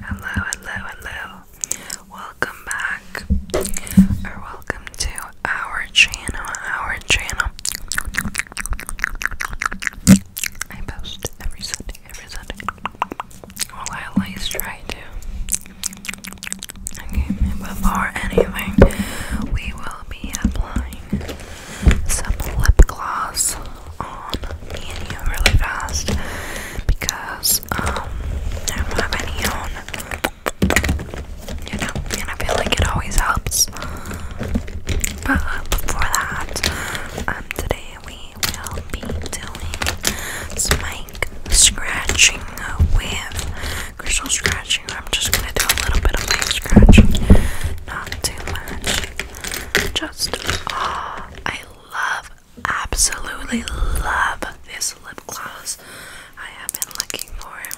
Hello, hello, hello. Welcome back or welcome to our channel. Our channel. I post every Sunday, every Sunday. Well, I at least try to. Okay, before anything, we will be applying some lip gloss on me and really fast because um I don't have any own you know and I feel like it always helps. But before that, um today we will be doing some scratching with crystal scratching. I'm just gonna do a little bit of mic scratching. Not too much. Just oh, I love, absolutely love this lip gloss. I have been looking for it.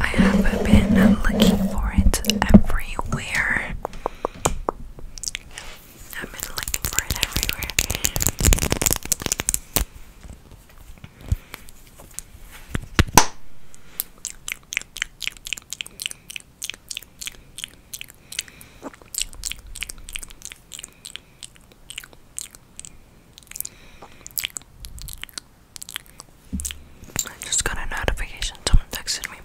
I have been looking for it everywhere. I've been looking for it everywhere. I just got a notification. Someone texted me.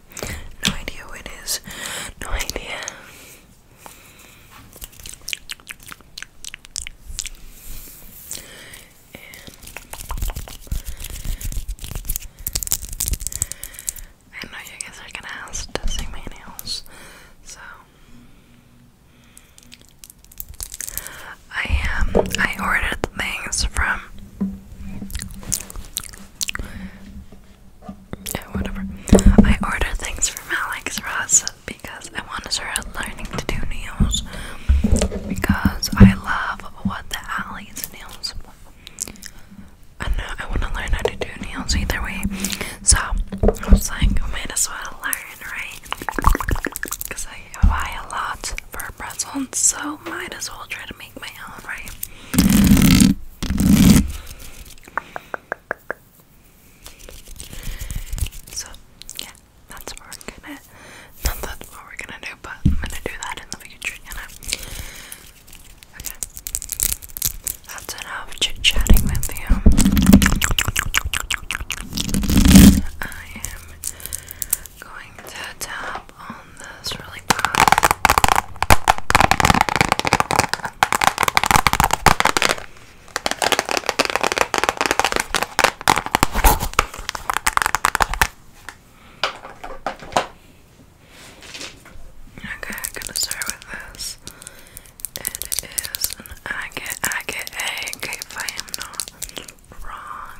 No idea what it is. No idea. I know you guys are gonna ask to see my nails, so I um I ordered things from yeah, whatever. I ordered things from Alex Ross because I want to start learning to do nails because I love what the Allie's nails. I know I want to learn how to do nails either way, so I was like, might as well learn, right? Because I buy a lot for pretzels, so might as well try to make my own, right? So yeah, that's what we're gonna not that's what we're gonna do, but I'm gonna do that in the future, Okay. That's enough chit chatting with you. I am going to tap on this really fast. Okay, I'm gonna start with this. It is an agate, agate egg, if I am not wrong.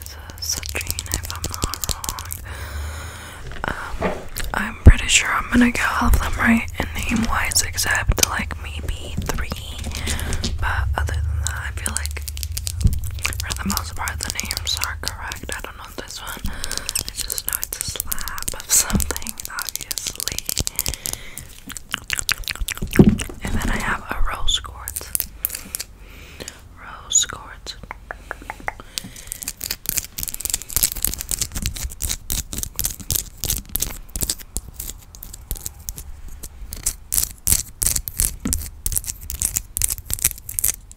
is a citrine, if I'm not wrong. Um, I'm pretty sure I'm gonna get all of them right in name wise, except like maybe three. But other than that, I feel like for the most part the names are correct. I don't know this one. I just know it's a slab of something, obviously. And then I have a rose quartz rose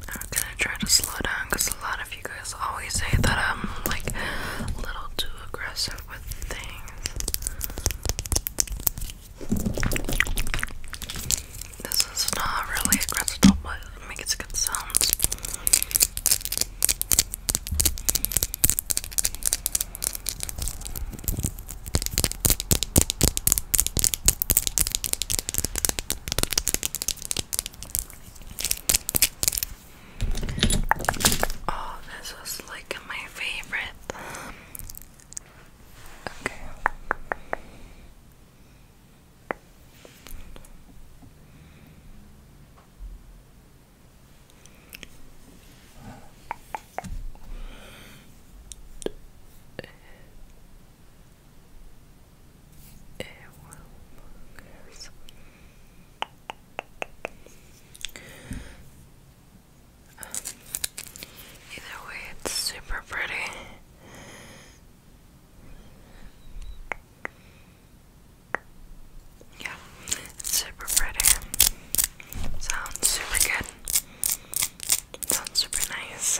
i try to slow down because a lot of you guys always say that I'm like a little too aggressive with things. This is not really a crystal, but it makes good sounds. Oh, this is like my favorite Okay. It will focus either way, it's super pretty. Yeah, super pretty. Sounds super good. Sounds super nice.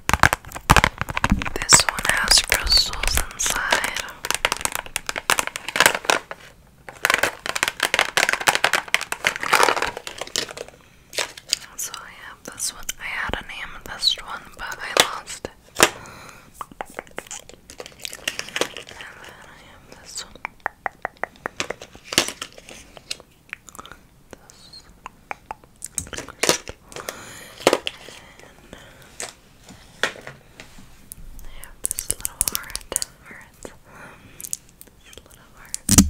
this one has crystals inside. So I have this one. I had an amethyst one, but I lost it. And then I have this one. This. And then I have this little heart. Heart. This little heart. And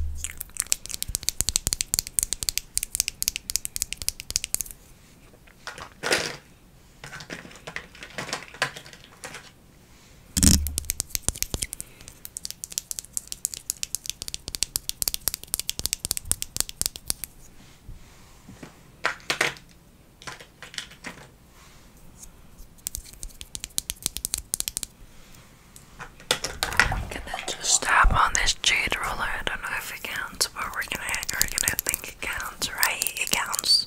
can I just tap on this jade roller? I don't know if it counts, but we're gonna we're gonna think it counts, right? It counts.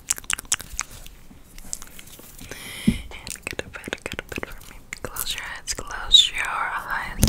And get a bit, get a bit for me. Close your eyes, close your eyes. Good.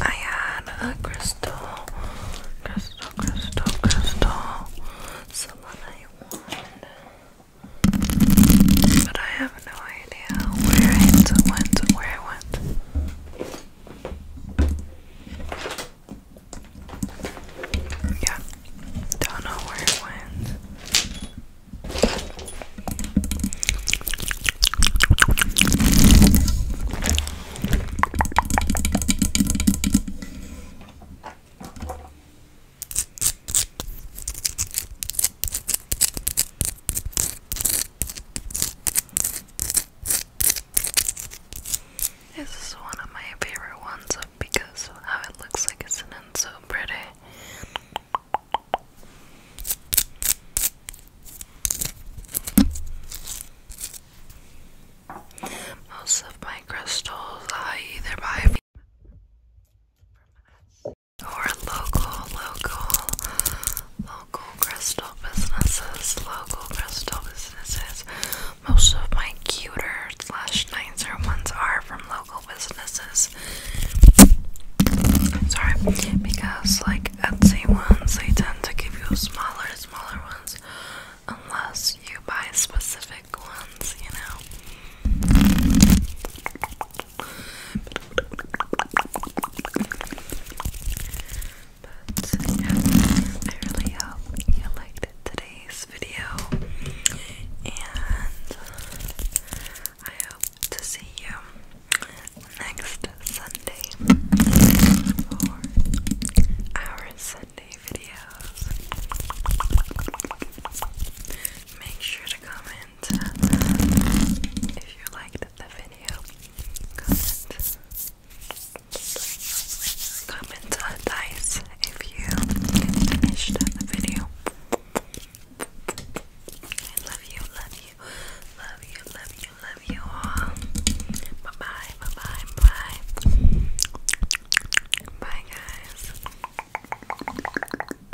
I had a crystal, crystal, crystal, crystal, someone I wanted, but I have no idea where it went, where it went. Yeah, don't know where it went. This is one of my favorite ones because how it looks like it's in and so pretty. Most of my crystals I either buy or local, local, local crystal businesses, local crystal businesses. Most of my cuter slash nicer ones are from local businesses. sorry, because like Etsy ones, they tend to give you smaller, smaller ones, unless you buy specific ones, you know. But I really hope you liked today's video, and I hope to see you next Sunday for our Sunday videos. Make sure to comment if you liked the video. Comment. Comment a dice if you finished the video. I love you, love you, love you, love you, love you all. Bye bye, bye bye, bye. Bye, guys.